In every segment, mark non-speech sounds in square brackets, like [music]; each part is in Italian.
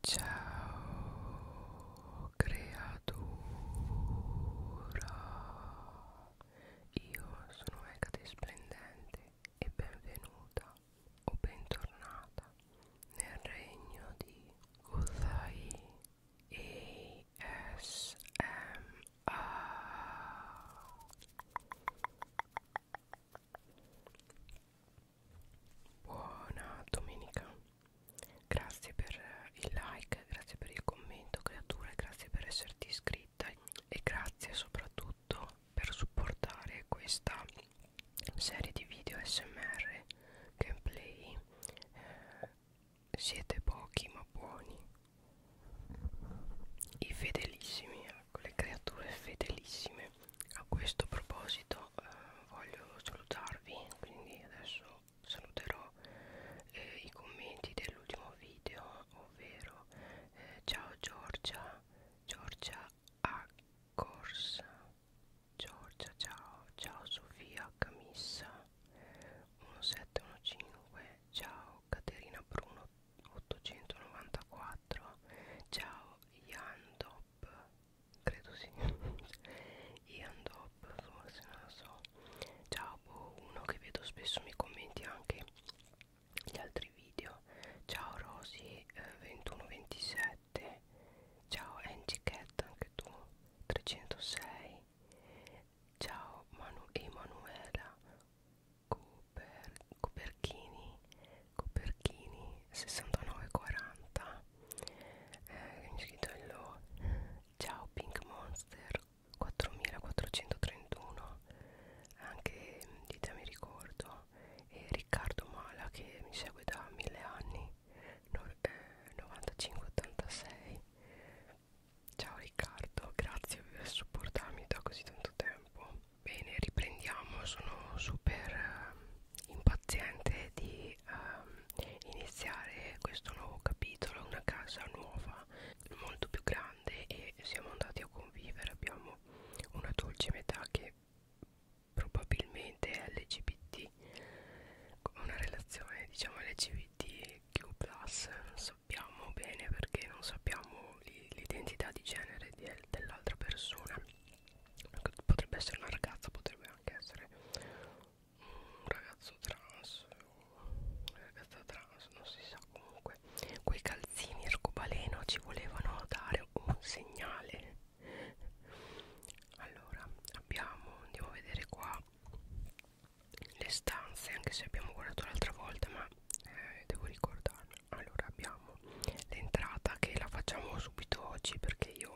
Ciao creatura, io sono Ecate Splendente e benvenuta o bentornata nel regno di Uzai ASMR Buona domenica. Grazie per il like, grazie per il commento, creature, grazie per esserti iscritta e grazie soprattutto per supportare questa serie di video SMR gameplay. Eh, siete pochi ma buoni. I fedelissimi, ecco, le creature fedelissime a questo proposito eh, voglio salutarvi quindi adesso saluterò eh, i commenti dell'ultimo video ovvero eh, ciao Giorgia Giorgia a corsa Giorgia ciao ciao Sofia Camissa 1715 ciao Caterina Bruno 894 ciao Iando Dop credo sì Ian [laughs] Dop forse non lo so ciao boh, uno che vedo spesso mi commenti anche gli altri video ciao Rosy eh, 2127 ciao Angie Cat anche tu 306 ciao Manu Emanuela Coper Coperchini coperchini 69,40 eh, iscritto lo ciao pink monster 4431 anche ditemi ricordo e Riccardo Mala che mi segue da mille anni no, eh, 9586 ciao Riccardo grazie per supportarmi da così tanto tempo bene riprendiamo sono super impaziente di um, iniziare questo nuovo capitolo, una casa nuova, molto più grande e siamo andati a convivere, abbiamo una dolce metà che probabilmente è LGBT, una relazione diciamo LGBTQ+, non sappiamo bene perché non sappiamo l'identità di genere dell'altra persona potrebbe essere una ragazza potrebbe anche essere un ragazzo trans una ragazza trans non si sa comunque quei calzini arcobaleno ci volevano dare un segnale allora abbiamo andiamo a vedere qua le stanze anche se abbiamo guardato l'altra volta ma eh, devo ricordarmi allora abbiamo l'entrata che la facciamo subito oggi perché io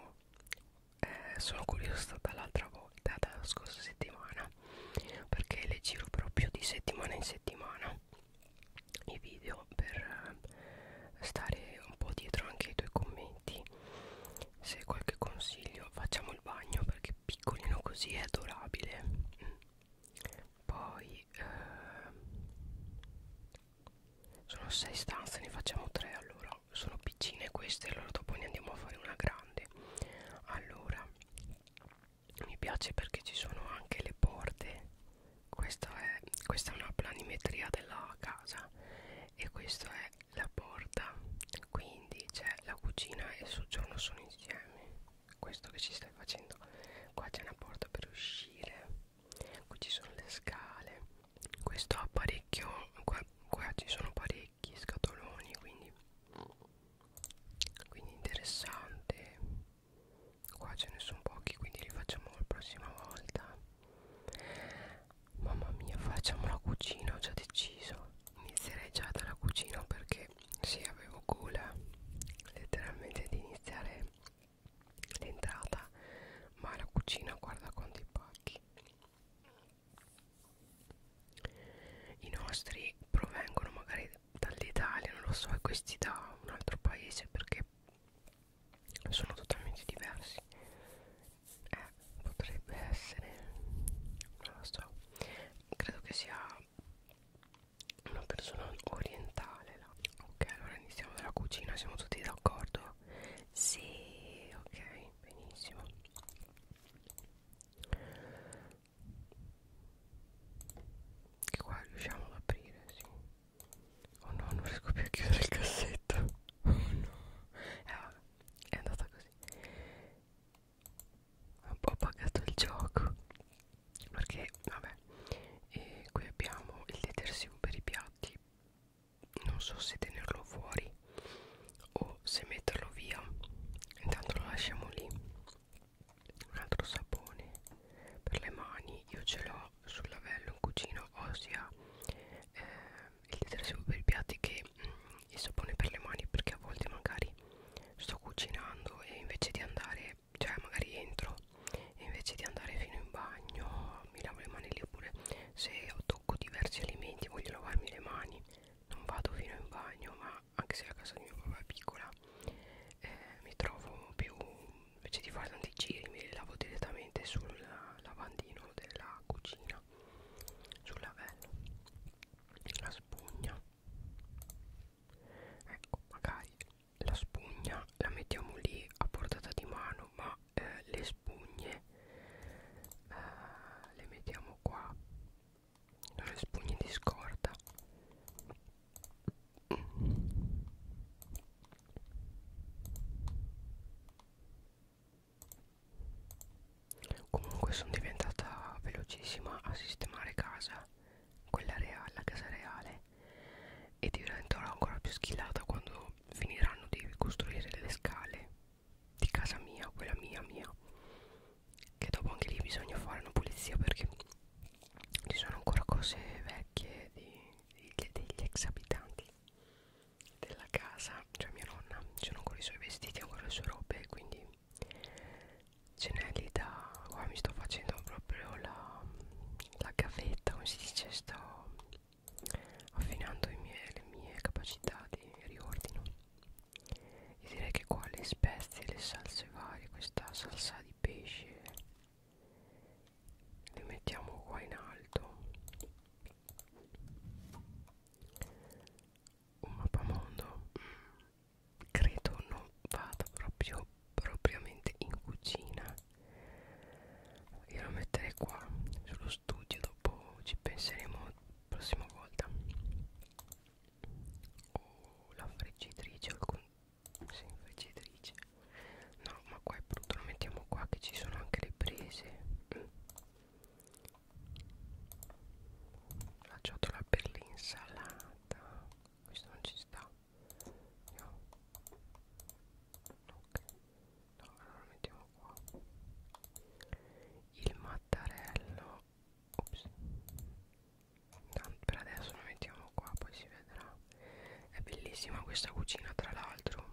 eh, sono curiosa dall'altra volta, dalla scorsa settimana, perché le giro proprio di settimana in settimana i video per eh, stare un po' dietro anche ai tuoi commenti. Se qualche consiglio, facciamo il bagno perché piccolino così è adorabile. Mm. Poi, eh, sono sei stanze ne facciamo tre allora sono piccine queste allora dopo ne andiamo a fare una grande allora mi piace perché ci sono anche le porte questa è, questa è una planimetria della casa e questa è la porta quindi c'è la cucina e il soggiorno sono insieme questo che ci stai facendo qua c'è una porta per uscire qui ci sono le scale questo ha parecchio qua, qua ci sono parecchi scatoloni quindi quindi interessante qua ce ne sono pochi quindi li facciamo la prossima volta mamma mia facciamo la cucina ho già deciso inizierei già dalla cucina perché sì avevo gola letteralmente di iniziare l'entrata ma la cucina guarda quanti pacchi i nostri provengono magari dall'Italia non lo so e questi da un altro paese perché sono totalmente diversi eh, potrebbe essere non lo so credo che sia una persona orientale là. ok allora iniziamo dalla cucina siamo tutti d'accordo sì, ok, benissimo. Che qua riusciamo ad aprire, sì. Oh no, non riesco più a chiudere il cassetto. Oh no. Eh vabbè, è andata così. Ho pagato il gioco. Perché, vabbè, eh, qui abbiamo il detersivo per i piatti non so se tenerlo fuori o se metterlo via intanto lo lasciamo lì un altro sapone per le mani io ce l'ho sul lavello in cucina ossia eh, il detersivo per i piatti che mm, il sapone per le mani perché a volte magari sto cucinando e invece di andare cioè magari entro e invece di andare fino in bagno mi lavo le mani lì oppure se tocco diversi alimenti voglio lavarmi le mani non vado fino in bagno ma anche se la casa di mio papà è piccola eh, mi trovo più invece di fare tanti giri mi lavo direttamente sul lavandino della cucina sul lavello la spugna ecco magari la spugna la mettiamo lì a portata di mano ma eh, le, spugne eh, le mettiamo qua sono le spugne di scorta comunque sono diventata velocissima a sistemare casa quella reale la casa reale e diventerò ancora più schillata quando finiranno di costruire le scale di casa mia, quella mia mia che dopo anche lì bisogna fare una pulizia perché ci sono ancora cose vecchie di, di, degli ex abitanti della casa, cioè mia nonna, ci sono ancora i suoi vestiti, ancora le sue robe, quindi ce n'è lì da... qua mi sto facendo proprio la, la gavetta, come si dice, sto affinando i miei, le mie capacità di riordino e direi che qua le spezie, le salse varie, questa salsa di pesce le mettiamo qua in alto un mappamondo mm, credo non vada proprio propriamente in cucina io lo metterei qua sullo studio dopo ci penseremo la prossima volta o oh, la friggitrice o alcun sì, friggitrice no ma qua è brutto lo mettiamo qua che ci sono anche le prese la ciotola per l'insalata questo non ci sta no ok no allora lo mettiamo qua il mattarello ops Tanto per adesso lo mettiamo qua poi si vedrà è bellissima questa cucina tra l'altro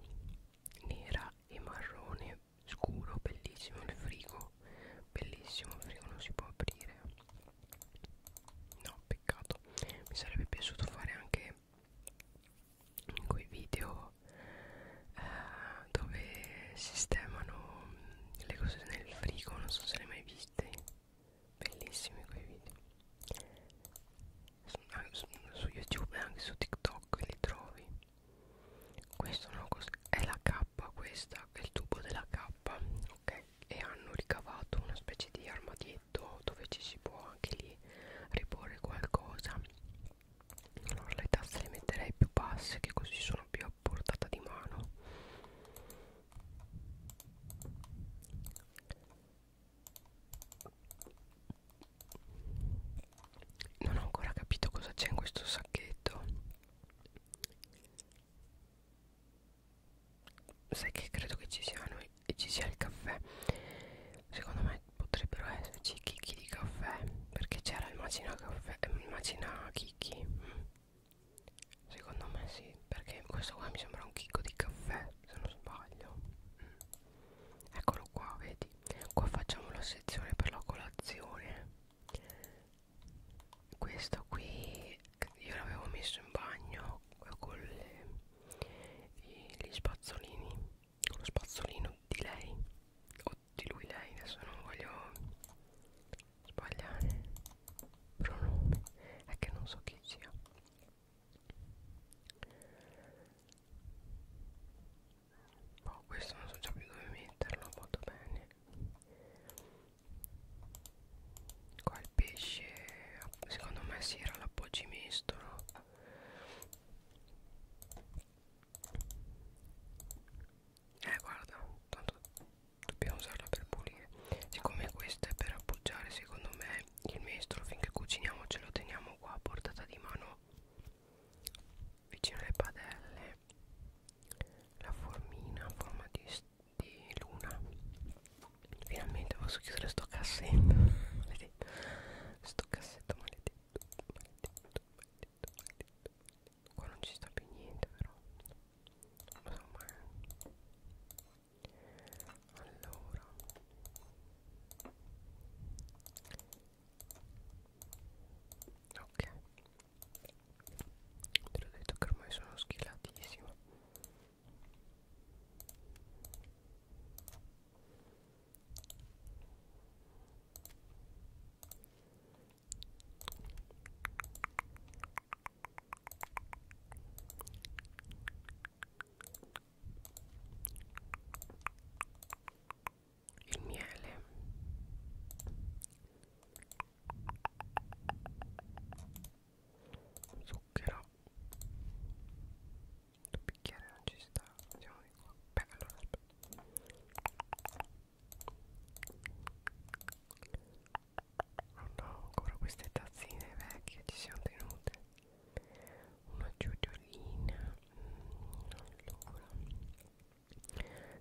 nera e marrone scuro bellissimo il frigo bellissimo il frigo non si può aprire no peccato mi sarebbe piaciuto fare anche quelle in quei video eh, dove sistemano le cose nel frigo non so se le hai mai viste bellissimi quei video su, su youtube e anche su tiktok li trovi questo no, è la K questa è il tubo della K ok e hanno ricavato una specie di armadietto piatto dove ci si può anche lì riporre qualcosa allora le tasse le metterei più basse che così sono più a portata di mano non ho ancora capito cosa c'è in questo sacchetto sai che credo che ci siano i e ci sia il caffè secondo me potrebbero esserci chicchi di caffè perché c'era il macina caffè eh, il macina chicchi secondo me sì perché questo qua mi sembra un chicco di caffè se non sbaglio mm. eccolo qua vedi qua facciamo la sezione per la colazione questo qui io l'avevo messo in bagno con le, gli spazzolini con lo spazzolino di lei o di lui lei adesso non voglio sbagliare pronomi è che non so chi sia Oh, questo non so già più dove metterlo, molto bene. Qua il pesce, secondo me si era l'appoggimestolo eh guarda tanto dobbiamo usarla per pulire siccome questa è per appoggiare secondo me il mestolo finché cuciniamo ce lo teniamo qua a portata di mano vicino alle padelle la formina a forma di, di luna finalmente posso chiudere sto cassetto [laughs] sto cassetto maledetto maledetto maledetto maledetto qua non ci sta più niente però non so mai allora ok te l'ho detto che ormai sono schillatissimo il miele zucchero il bicchiere non ci sta andiamo di qua beh allora aspetta oh no ancora queste tazzine vecchie ci siamo tenute una giudiolina mm, allora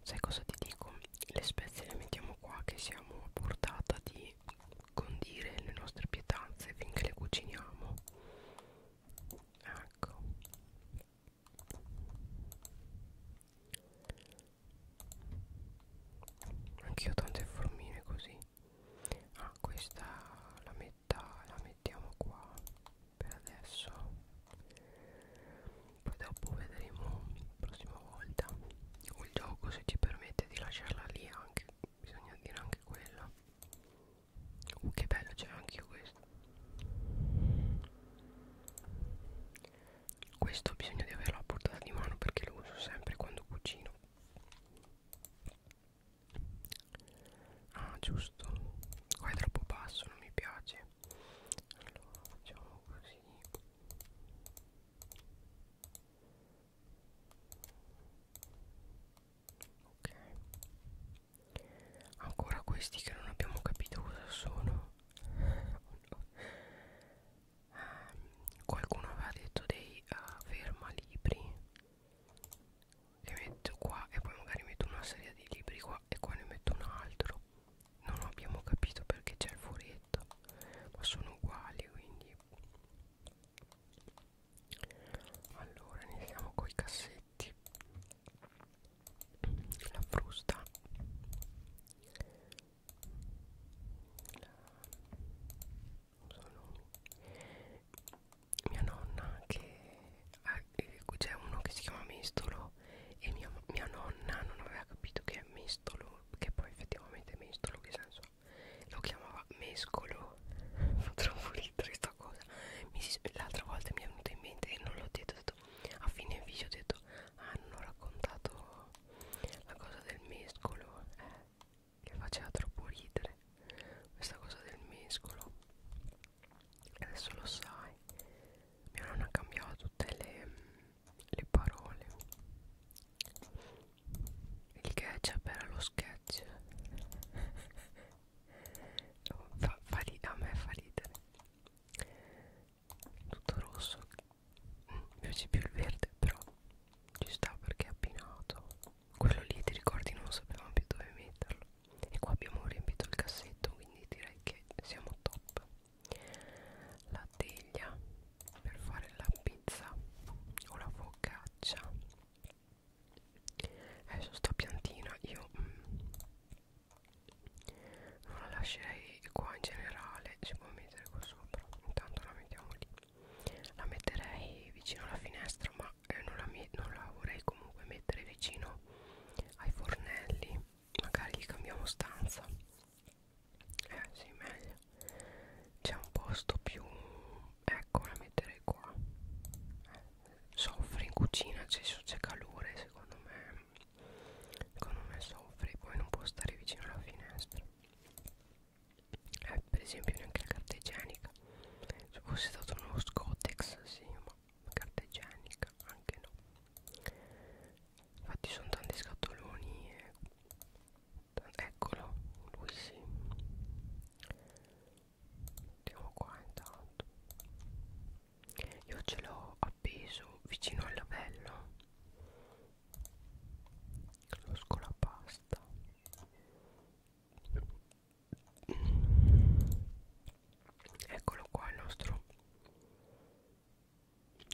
sai cosa ti dico le spezie le mettiamo qua che siamo a portata di condire le nostre pietanze finché le cuciniamo ecco anch'io tante formine così ah questa la metà la mettiamo qua per adesso poi dopo vedremo la prossima volta o il gioco se ci permette di lasciarla lì anche bisogna dire anche quello Uh, che bello, c'era anch'io questo. Questo bisogna di averlo a portata di mano perché lo uso sempre quando cucino. Ah, giusto. Qua è troppo basso, non mi piace. Allora, facciamo così ok ancora questi che non abbiamo capito cosa sono oh no. um, qualcuno aveva detto dei uh, fermalibri che metto qua e poi magari metto una serie di libri qua e qua ne metto un altro non abbiamo capito perché c'è il furetto ma sono uguali quindi allora iniziamo coi cassetti la frusta la... Sono... mia nonna che eh, c'è uno che si chiama mestolo e mia, mia nonna non aveva capito che è mestolo che poi effettivamente è mestolo che senso lo chiamava mescolo purtroppo [laughs] ridere sta cosa l'altra volta mi è venuta in mente e non l'ho detto, detto a fine video ho detto ah, hanno raccontato la cosa del mescolo eh, che faceva troppo ridere questa cosa del mescolo adesso lo sai mia nonna cambiava tutte le, le parole il ketchup era lo sketch [laughs] fa, fa a me fa ridere tutto rosso mm, mi piace più il verde però ci sta perché è appinato quello lì ti ricordi non sapevamo più dove metterlo e qua abbiamo riempito il cassetto quindi direi che siamo top la teglia per fare la pizza o la focaccia adesso sta piantina io mm, non la lascerei qua in generale si può mettere qua sopra intanto la mettiamo lì la metterei vicino alla finestra ma eh, non, la non la vorrei comunque mettere vicino ai fornelli magari gli cambiamo stanza eh sì meglio c'è un posto più ecco la metterei qua soffre in cucina c'è calore secondo me secondo me soffre poi non può stare vicino alla finestra eh, per esempio neanche la carta igienica se fosse stato uno scotex sì ma carta igienica anche no infatti sono tanti scatoloni e... eccolo lui sì andiamo qua intanto io ce l'ho appeso vicino al lavello lo scolapasta eccolo qua il nostro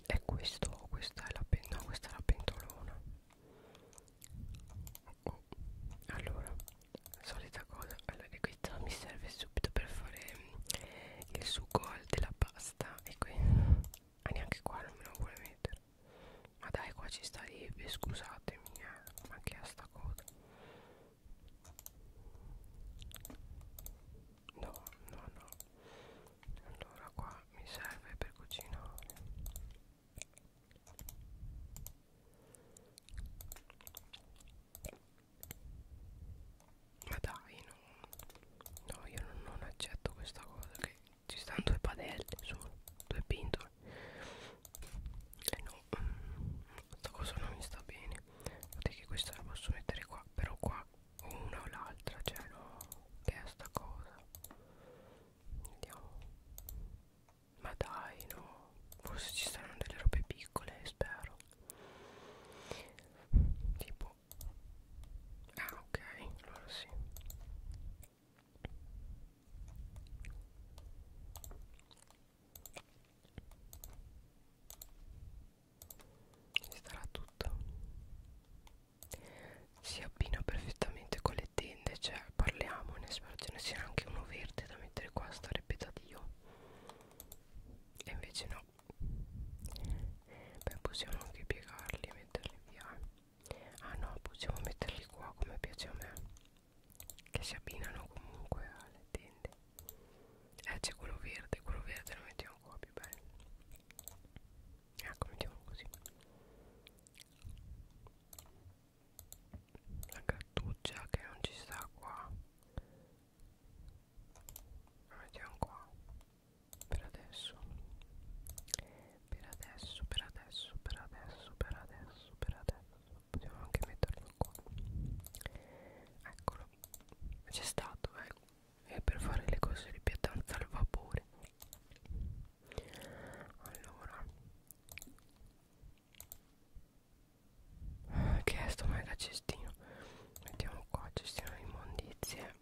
è questo questa è la, no, questa è la pentolona oh. allora solita cosa allora questa mi serve subito per fare mm, il sugo della pasta e qui ah, neanche qua non me lo vuole mettere ma dai qua ci sta lì eh, scusatemi eh, ma che è sta cosa no no no allora qua mi serve per cucinare ma dai, no, no io non, non accetto questa cosa che ci stanno due padelle solo, due pintole. E eh no, mm, questa cosa non mi sta bene. Guardate che questa la posso mettere qua, però qua o una o l'altra, cioè no, che è sta cosa. Vediamo. Ma dai, no. Forse ci saranno delle robe piccole, spero. Tipo... Ah, ok, allora sì. Ci starà tutto. Si abbina perfettamente con le tende vende cioè parliamone spero ce ne sia anche uno verde da mettere qua starebbe da dio e invece no beh possiamo anche piegarli e metterli via ah no possiamo metterli qua come piace a me che si abbinano comunque alle tende eh c'è quello verde quello verde lo mettiamo qua più bene ecco mettiamo così la cartuccia eh, che non ci sta qua la mettiamo qua per adesso per adesso per adesso per adesso per adesso per adesso possiamo anche metterlo qua eccolo c'è stato eh. e per fare le cose di pietanza al vapore allora che è sto mega cestino Mettiamo qua cestino di immondizie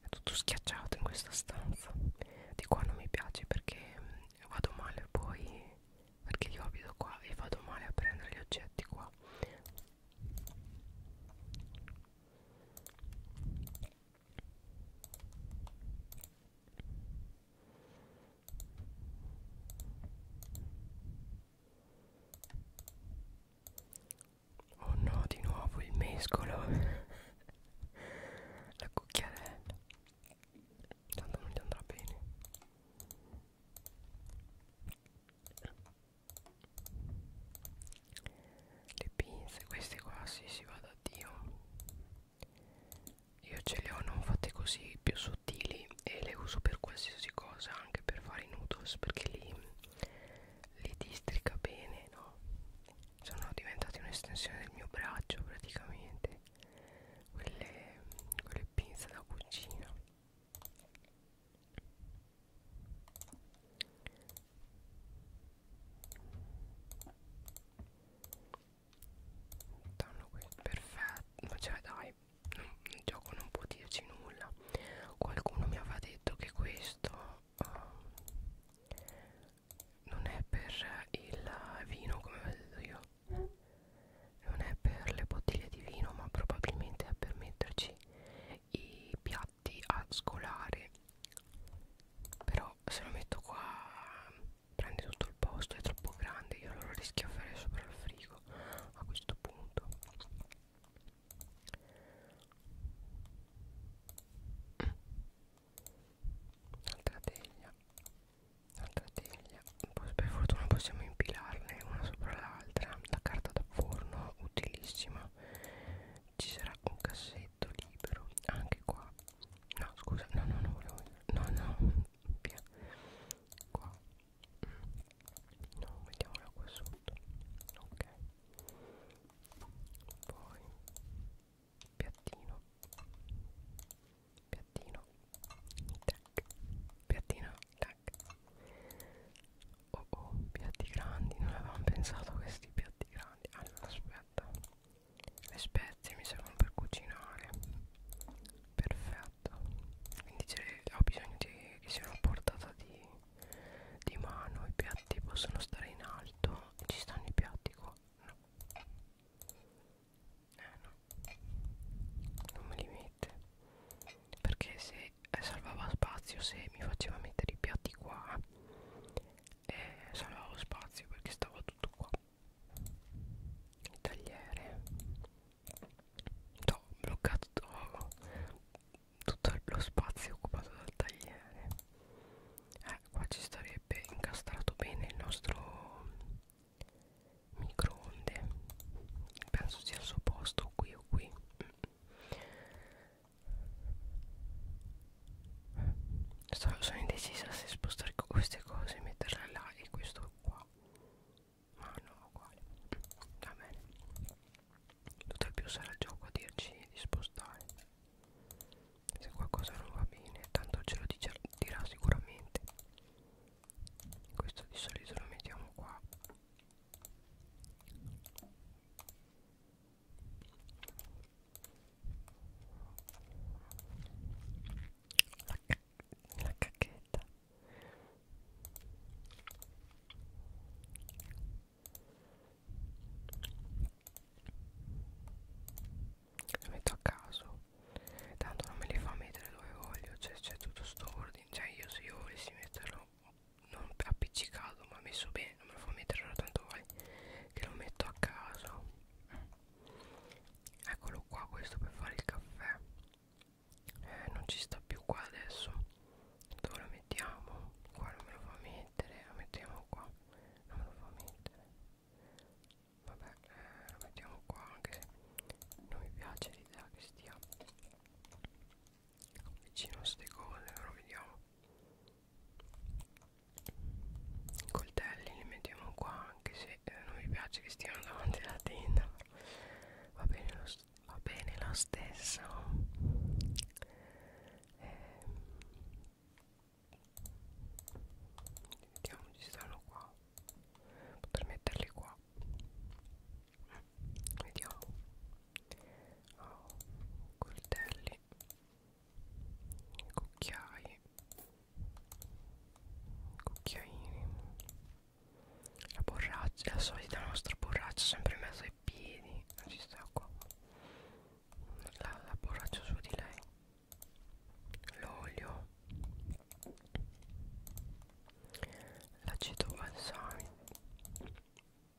È tutto schiacciato in questa stanza Di qua non mi piace perché mm, vado male poi Perché io abito qua e vado male a prendere gli oggetti qua Oh no, di nuovo il mescolo. [laughs] La cucchiarella. Tanto non ti andrà bene. Le pinze, queste qua, sì, si va da Dio. Io ce le ho non fatte così più sottili e le uso per qualsiasi cosa, anche per fare i noodles perché li, li districa bene, no? Sono diventate un'estensione del mio braccio praticamente, quelle, quelle pinze da cucina stanno qui perfetto cioè dai non, il gioco non può dirci nulla qualcuno mi aveva detto che questo uh, non è per il vino come avevo detto io non è per le bottiglie di vino ma probabilmente è per metterci i piatti a scolare però se lo metto qua prende tutto il posto è troppo grande io lo rischiafferei sopra il frigo a questo punto un'altra teglia un'altra teglia per fortuna possiamo impilarne una sopra l'altra la carta da forno utilissima ci sarà un cassetto libero anche qua no scusa no no no volevo no no via qua no mettiamola qua sotto ok poi piattino piattino tac piattino tac oh oh piatti grandi non avevamo pensato a questi piatti grandi allora aspetta le spezie mi servono per cucinare perfetto quindi ho bisogno di, che siano a portata di, di mano i piatti possono stare in alto ci stanno i piatti qua no eh no non me li mette perché se salvava spazio se mi faceva mettere i piatti qua e eh, salvavo spazio perché stava tutto qua tagliere ho bloccato tutto lo spazio occupato dal tagliere eh, qua ci starebbe incastrato bene il nostro microonde penso sia al suo posto qui o qui Sto, sono indecisa se spostare queste cose e metterle là e questo qua ma no uguale va bene tutto più sarà il gioco a dirci di spostare se qualcosa non va bene tanto ce lo dice, dirà sicuramente questo di solito lo mettiamo qua la, la cacchetta lo metto a caso tanto non me li fa mettere dove voglio cioè c'è tutto sto ordine cioè io se io volessi metterlo non appiccicato ma messo bene non me lo fa mettere tanto vale che lo metto a caso eccolo qua questo per fare il caffè eh, non ci sta più qua adesso dove lo mettiamo qua non me lo fa mettere lo mettiamo qua non me lo fa mettere vabbè eh, lo mettiamo qua anche se non mi piace l'idea che stia vicino a ste cose però vediamo i coltelli li mettiamo qua anche se eh, non mi piace che stiano davanti alla tenda va bene lo, va bene lo stesso eh, vediamo ci stanno qua potrei metterli qua mm, vediamo oh, coltelli cucchiai cucchiaini la borraccia la solita nostra borraccia sempre in mezzo ai piedi non ci sta qua la, la borraccia su di lei l'olio l'aceto balsamico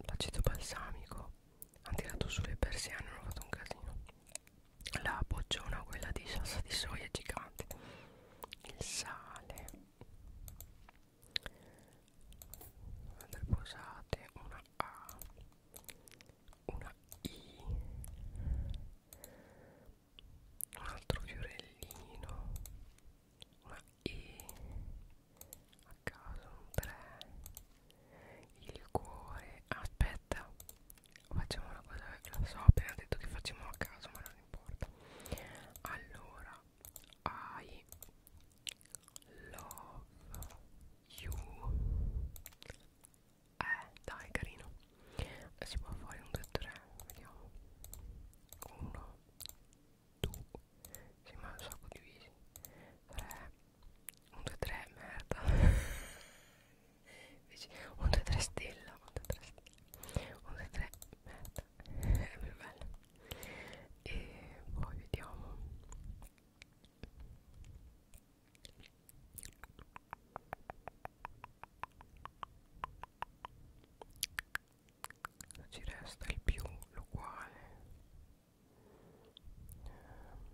l'aceto balsamico hanno tirato sulle persiane hanno fatto un casino la bocciona quella di salsa di soia gigante il sale posate una A una I un altro fiorellino una E a caso un 3 il cuore aspetta aspetta facciamo una cosa lo so ho appena detto che facciamo a caso ma non importa allora I love you eh dai carino eh, si può fare un 2 3 vediamo 1 2 si ma un sacco divisi 3 1 2 3 merda [laughs] Invece, un 2 3 stella, un 2 3 stella, un 2 3 merda, eh, è più bello. E poi vediamo. Ci resta il più l'uguale. Allora, eh,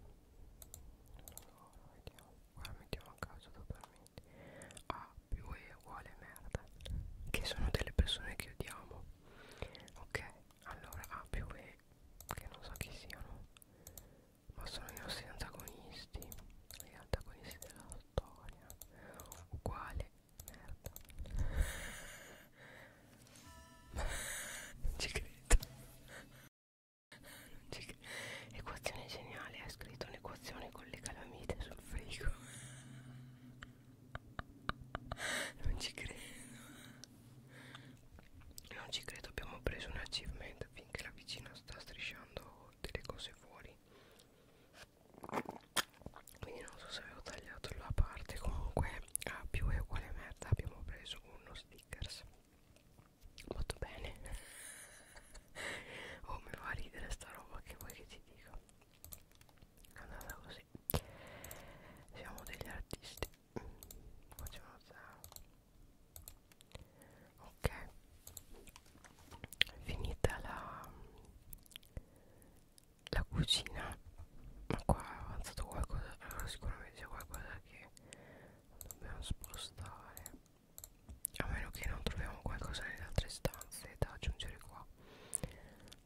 vediamo ora mettiamo a caso totalmente A più E uguale merda che sono delle persone che odiamo ok allora A più E che non so chi siano ma sono i nostri antagonisti gli antagonisti della storia uguale merda [laughs] non ci credo cioè, equazione geniale, ha scritto un'equazione con le calamite sul frigo. Non ci credo. Non ci credo, abbiamo preso un achievement finché la vicina sta strisciando delle cose fuori. Quindi non so se avevo tagliato la parte, comunque a più è uguale merda abbiamo preso uno stickers molto bene [laughs] oh mi fa ridere sta roba che vuoi che ti dica è andata così siamo degli artisti facciamo ok finita la la cucina ma qua è avanzato qualcosa allora eh, sicuramente c'è qualcosa che dobbiamo spostare a meno che non troviamo qualcosa nelle altre stanze da aggiungere qua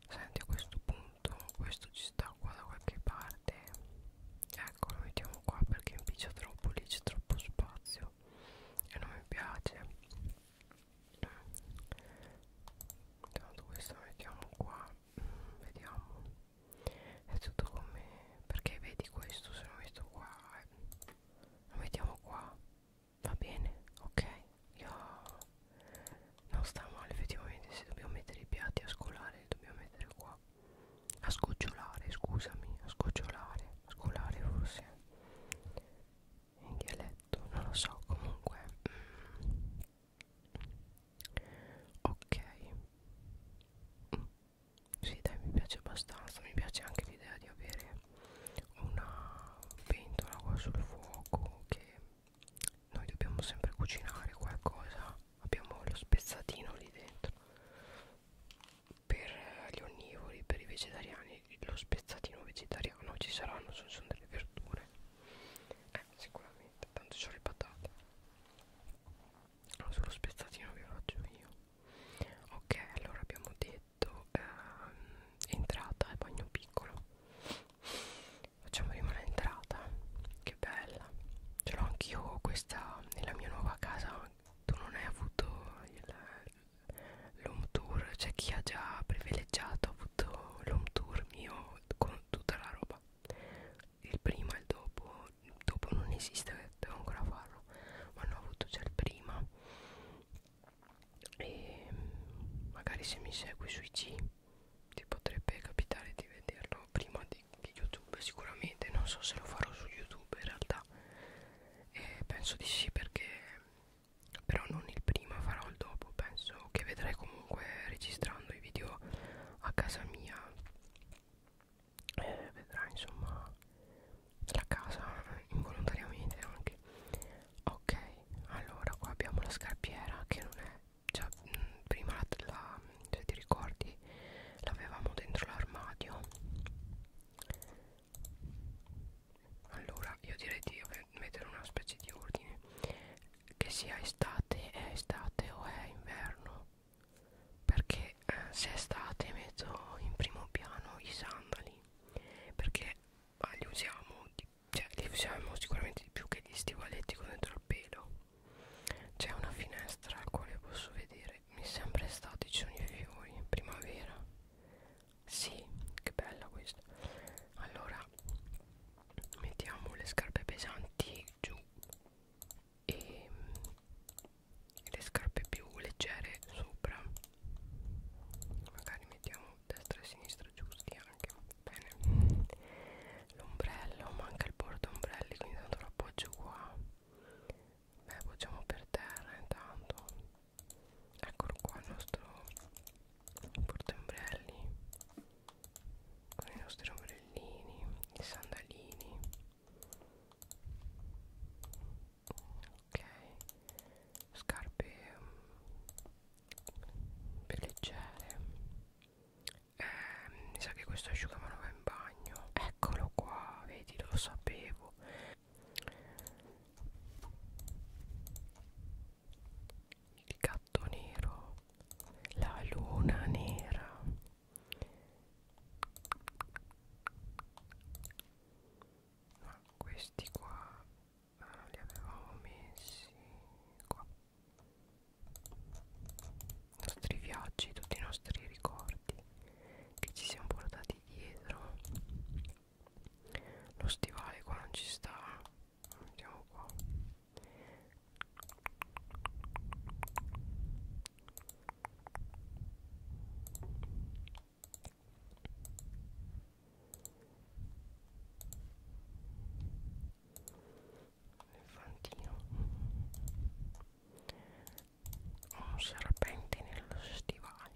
senti a questo punto questo ci sta qua da qualche parte ecco lo mettiamo qua perché impiccia troppo lì c'è troppo spazio e non mi piace intanto questo lo mettiamo qua vediamo è tutto come perché vedi questo se lo metto qua eh la mettiamo qua va bene ok io non sta male effettivamente se dobbiamo mettere i piatti a scolare li dobbiamo mettere qua a sgocciolare scusami a sgocciolare a scolare forse in dialetto non lo so comunque mm. ok mm sì dai mi piace abbastanza mi piace anche l'idea di avere una pentola qua sul fuoco che noi dobbiamo sempre cucinare qualcosa abbiamo lo spezzatino lì dentro per gli onnivori per i vegetariani lo spezzatino vegetariano ci saranno sono, sono delle verdure eh, sicuramente tanto c'ho le patate ho solo spezzatino che faccio io ok allora abbiamo detto ehm, entrata e eh, bagno piccolo facciamo prima l'entrata che bella ce l'ho anch'io questa nella mia nuova casa tu non hai avuto l'home tour c'è chi ha già privilegiato ha avuto l'home tour mio con tutta la roba il prima e il dopo dopo non esiste devo ancora farlo ma hanno avuto già il prima e magari se mi segui sui G ti potrebbe capitare di vederlo prima di, di YouTube sicuramente non so se lo farò su YouTube in realtà e penso di sì perché però non il prima farò il dopo penso che vedrai comunque registrando i video a casa mia eh, vedrà insomma la casa involontariamente anche ok allora qua abbiamo la scarpiera che non è già mh, mm, prima la, la, se cioè, ti ricordi l'avevamo dentro l'armadio allora io direi di mettere una specie di ordine che sia estate è estate o è inverno perché eh, se è estate metto in primo piano i sandali perché ma li usiamo di, cioè li usiamo sicuramente di più che gli stivaletti con dentro il pelo c'è una finestra al quale posso vedere mi sembra estate ci sono i fiori primavera sì che bella questa allora mettiamo le scarpe pesanti giù e le scarpe più leggere sopra magari mettiamo destra e sinistra giusti anche bene l'ombrello manca il porta ombrelli quindi tanto lo appoggio qua beh appoggiamo per terra intanto eccolo qua il nostro porta ombrelli con i nostri ombrellini i sandalini ok scarpe mm, per leggere eh, mi sa che questo asciugamano va in bagno eccolo qua vedi lo sapevo il gatto nero la luna nera ma questi qua eh, li avevamo messi qua i nostri viaggi tutti i nostri ricordi che ci siamo portati dietro lo stivale qua non ci sta lo mettiamo qua elefantino ho un serpente nello stivale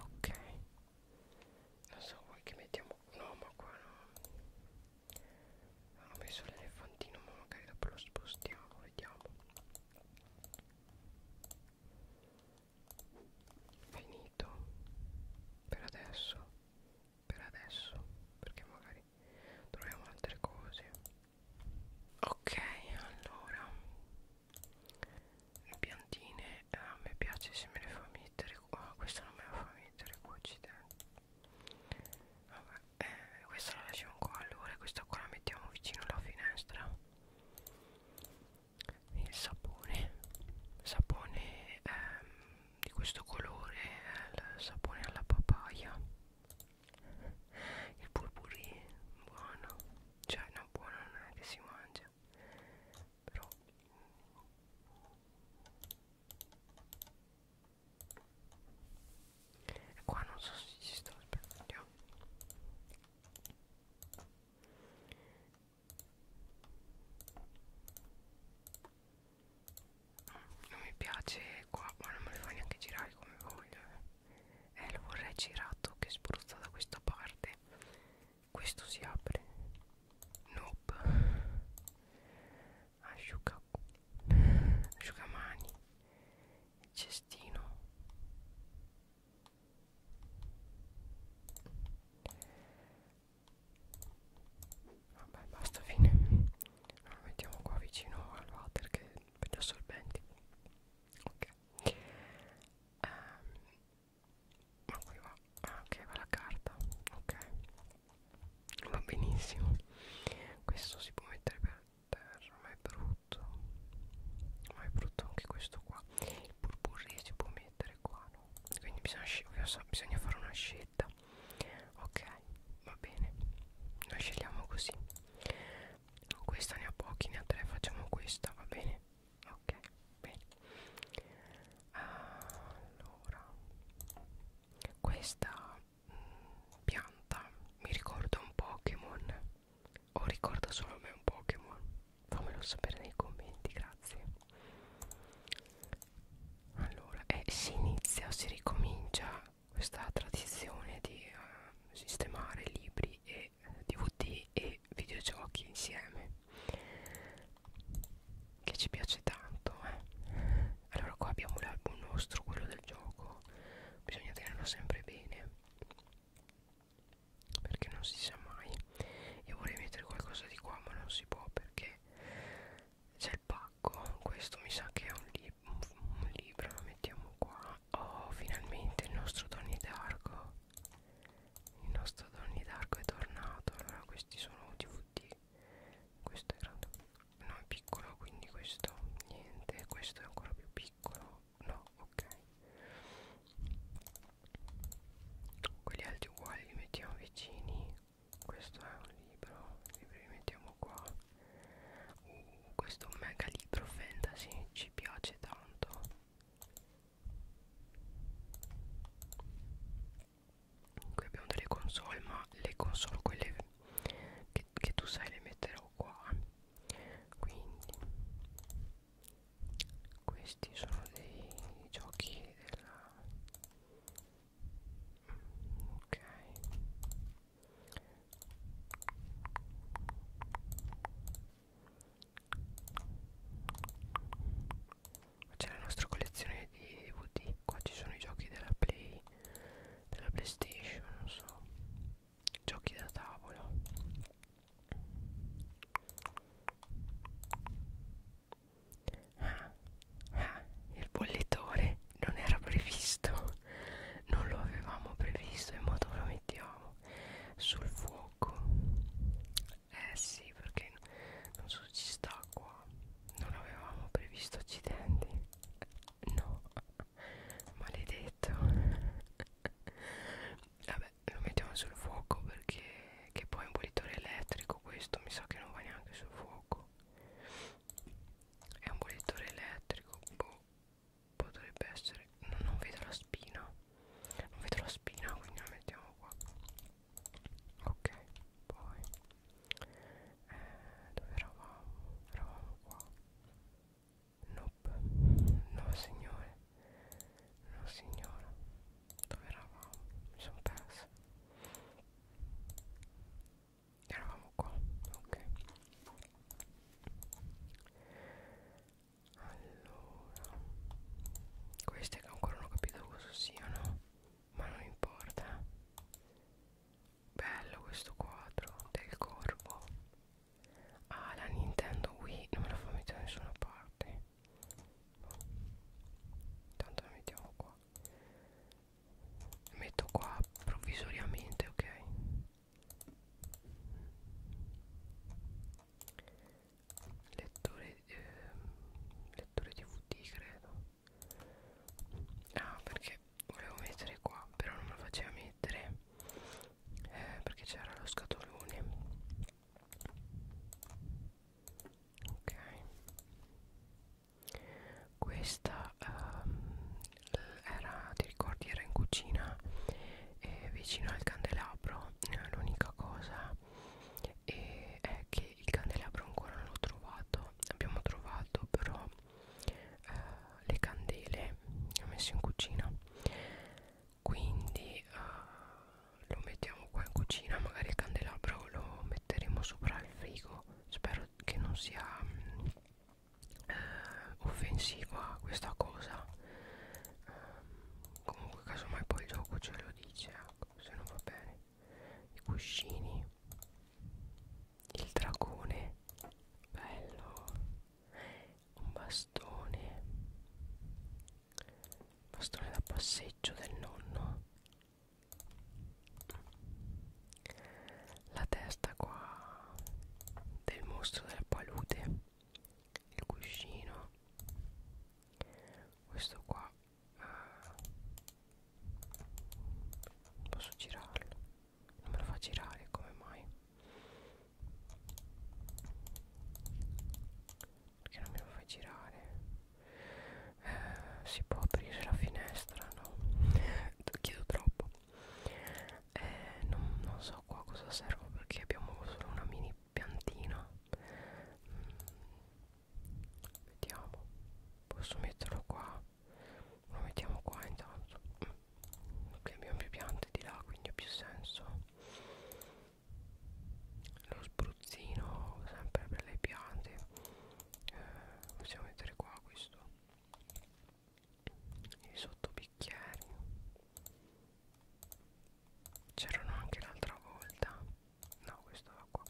ok non so vuoi che mettiamo no ma qua no ah, ho messo l'elefantino ma magari dopo lo spostiamo vediamo finito per adesso per adesso perché magari troviamo altre cose ok allora le piantine eh, a me piace se me le fa mettere qua ah, questa non me la fa mettere qua accidenti vabbè eh, questa la lasciamo qua allora questa qua la mettiamo vicino alla finestra il sapone sapone ehm, di questo colore è il sapone alla papaya il purpurì buono cioè no buono non è che si mangia però e qua non so se ci sto aspettando non mi piace qua ma non me lo fa neanche girare come voglio eh. eh lo vorrei girato che spruzza da questa parte questo si apre nope asciuga asciugamani il cestino vabbè basta fine lo mettiamo qua vicino al water che per gli assorbenti ok um, ma qui va ah, ok va la carta ok va benissimo questo si può mettere per terra ma è brutto ma è brutto anche questo qua il purpurri si può mettere qua no quindi bisogna, bisogna fare una scelta scaletta ok va bene noi scegliamo così questa ne ha pochi ne ha tre facciamo questa va bene ok bene allora questa mh, mm, pianta mi ricorda un Pokémon o ricorda solo a me un Pokémon fammelo sapere nei commenti grazie allora eh, si inizia si ricomincia questa tradizione di uh, sistemare libri e dvd e videogiochi insieme che ci piace tanto eh. allora qua abbiamo l'album nostro quello del gioco bisogna tenerlo sempre bene perché non si sa mai io vorrei mettere qualcosa di qua ma non si può perché c'è il pacco questo mi sa che è un, li un, un libro lo mettiamo qua oh finalmente il nostro Donnie Darko il nostro Donnie Darko è tornato allora questi sono DVD questo è grande no è piccolo quindi questo niente questo è ancora più piccolo no ok quelli alti uguali li mettiamo vicini questo è un libro libri li mettiamo qua uh, questo mega libro fantasy ci piace tanto qui abbiamo delle console ma le console quelle che, che tu sai le metterò qua quindi questi sono dei giochi della ok c'è la nostra collezione di DVD qua ci sono i giochi della play della playstation non so giochi da tavola Ah, ah, il bollitore non era previsto, non lo avevamo previsto, in modo lo mettiamo sul fuoco. Eh sì, perché non so ci sta qua, non avevamo previsto accidenti. No, maledetto. Vabbè, lo mettiamo sul fuoco perché che poi è un bollitore elettrico questo, mi sa che non va neanche sul fuoco è un bollettore elettrico boh, potrebbe essere no, non vedo la spina non vedo la spina quindi la mettiamo qua ok poi eh, dove eravamo eravamo qua Nope. No signore. No signora. Dove eravamo? Mi sono persa eravamo qua ok allora queste che ancora non ho capito cosa siano ma non importa bello questo quadro del corvo ah la Nintendo Wii non me la fa mettere da nessuna parte tanto la mettiamo qua metto qua provvisoriamente ok lettore eh, lettore dvd credo ah perché volevo mettere qua però non me lo faceva mettere eh, perché c'era lo scatolone ok questa ehm, era ti ricordi era in cucina eh, vicino al candelabro eh, l'unica cosa eh, è che il candelabro ancora non l'ho trovato abbiamo trovato però eh, le candele che ho messo in cucina quindi eh, lo mettiamo qua in cucina magari il candelabro lo metteremo sopra il frigo spero che non sia eh, offensiva questa cosa eh, comunque casomai poi il gioco ce lo dice ecco, se non va bene i cuscini il dragone bello un bastone bastone da passeggio del nonno la testa qua del mostro della palude il cuscino questo qua ah. posso girarlo non me lo fa girare come mai perché non me lo fa girare eh, si può aprire la finestra no chiedo troppo eh, non, non so qua cosa servo perché abbiamo solo una mini piantina mm, vediamo posso metterlo qua lo mettiamo qua intanto perché mm, abbiamo più piante di là quindi ha più senso lo spruzzino sempre per le piante eh, possiamo mettere qua questo i sottobicchieri c'erano anche l'altra volta no questo va qua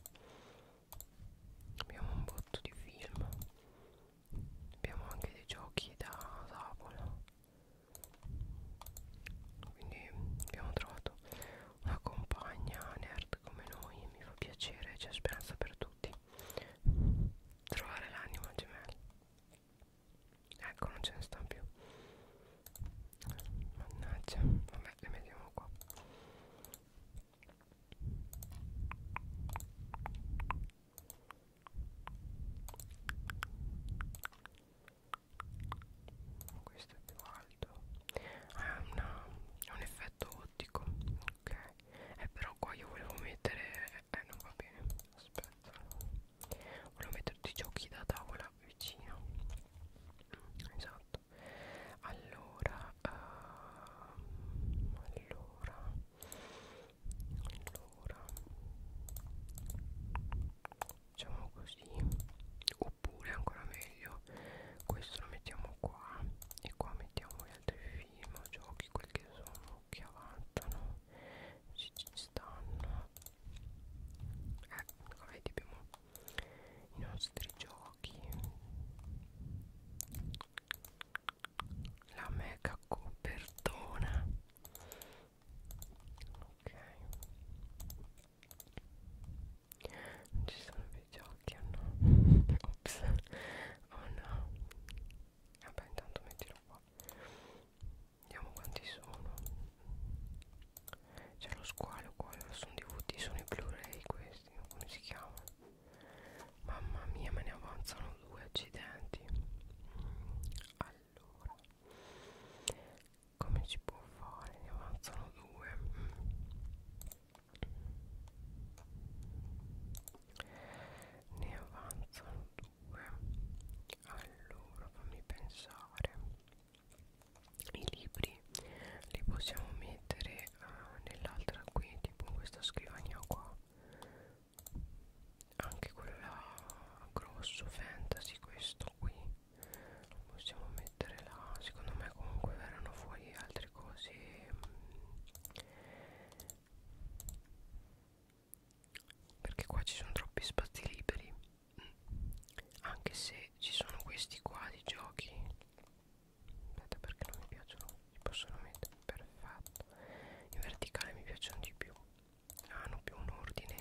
abbiamo un botto di film abbiamo anche dei giochi da tavola quindi abbiamo trovato una compagna nerd up come noi e mi fa piacere, c'è speranza per tutti trovare l'anima gemella ecco non ce ne stanno più mannaggia vabbè le mettiamo qua questo è uguale caldo ha, una, ha un effetto ottico ok eh, però qua io volevo mettere eh non va bene aspetta volevo mettere tutti i giochi da tavola vicino mm, esatto allora uh, allora allora facciamo così oppure ancora meglio meglio questo lo mettiamo qua e qua mettiamo gli altri film giochi quel che sono che avanzano ci, ci stanno ecco vedi abbiamo i nostri giochi la mega copertona ok non ci sono più giochi o no? [laughs] Ops, oh no, vabbè intanto mettilo qua, vediamo quanti sono, c'è lo squalo qua, sono DVD, sono i Blu-ray questi, come si chiamano? Mamma mia, me ne avanzano due accidenti. Allora, come si può fare? Ne avanzano due. Mm ne avanzano due allora fammi pensare i libri li possiamo mettere uh, nell'altra qui tipo in questa scrivania qua anche quella grosso fantasy questo qui lo possiamo mettere là secondo me comunque verranno fuori altre cose perché qua ci sono troppi spazi liberi anche se ci sono questi qua di giochi aspetta perché non mi piacciono si possono mettere perfetto in verticale mi piacciono di più ah, hanno più un ordine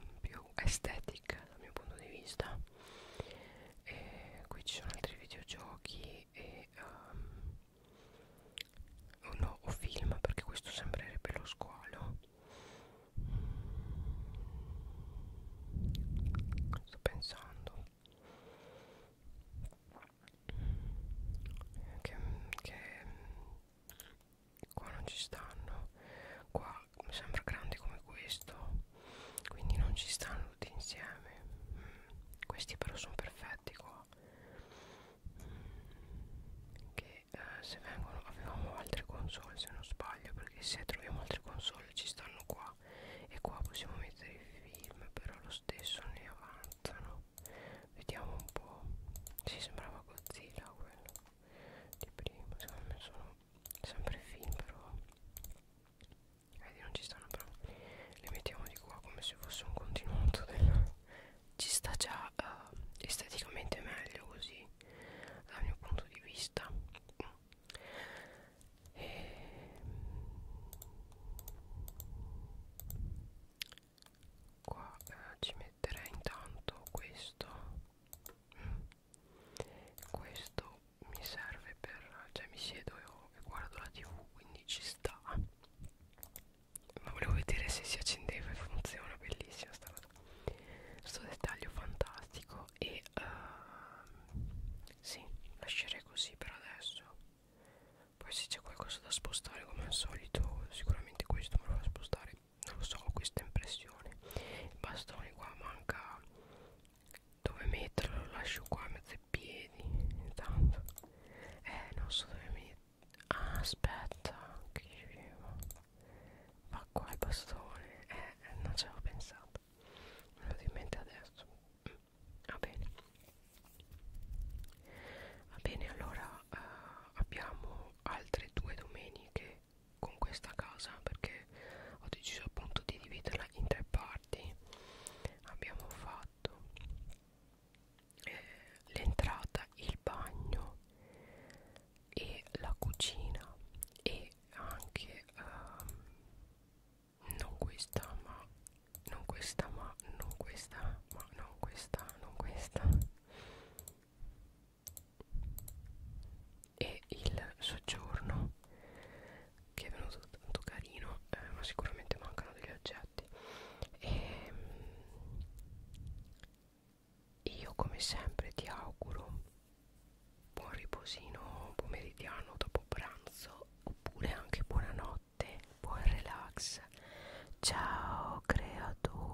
mm, più estetic dal mio punto di vista e qui ci sono altri videogiochi e um, o no, o film perché questo sembrerebbe lo squalo sto pensando che, che qua non ci stanno qua mi sembra grande come questo quindi non ci stanno tutti insieme mm. questi però sono perfetti qua mm. che eh, se vengono avevamo altre console se non sbaglio perché se troviamo altre console ci stanno qua e qua possiamo mettere i film però lo stesso ne avanzano vediamo un po' si sembrava Godzilla quello di prima secondo me sono sempre film però Vedi non ci stanno però Le mettiamo di qua come se fosse un continuato del... Ci sta già uh, esteticamente meglio così Dal mio punto di vista e... Qua eh, ci metterei intanto questo mm questo mi serve per cioè mi siedo e, ho, e guardo la tv quindi ci sta ma volevo vedere se si accendeva e funziona bellissima sta cosa questo dettaglio fantastico e uh, sì lascerei così per adesso poi se c'è qualcosa da spostare come al solito sicuramente questo me lo va a spostare non lo so ho questa impressione i bastoni qua manca dove metterlo lo lascio qua a mezzo ai piedi intanto eh non so dove metterlo ah aspetta che dicevo va qua il bastone eh non ci avevo pensato me lo in mente adesso mm, va bene va bene allora eh, abbiamo altre due domeniche con questa casa perché ho deciso appunto di dividerla in tre parti abbiamo fatto eh, l'entrata il bagno e la cucina e anche ehm, non questa ma non questa ma non questa ma non questa non questa e il soggiorno che è venuto tanto carino eh, ma sicuramente mancano degli oggetti e ehm, io come sempre ti auguro buon riposino pomeridiano dopo pranzo oppure anche buonanotte buon relax ciao creatura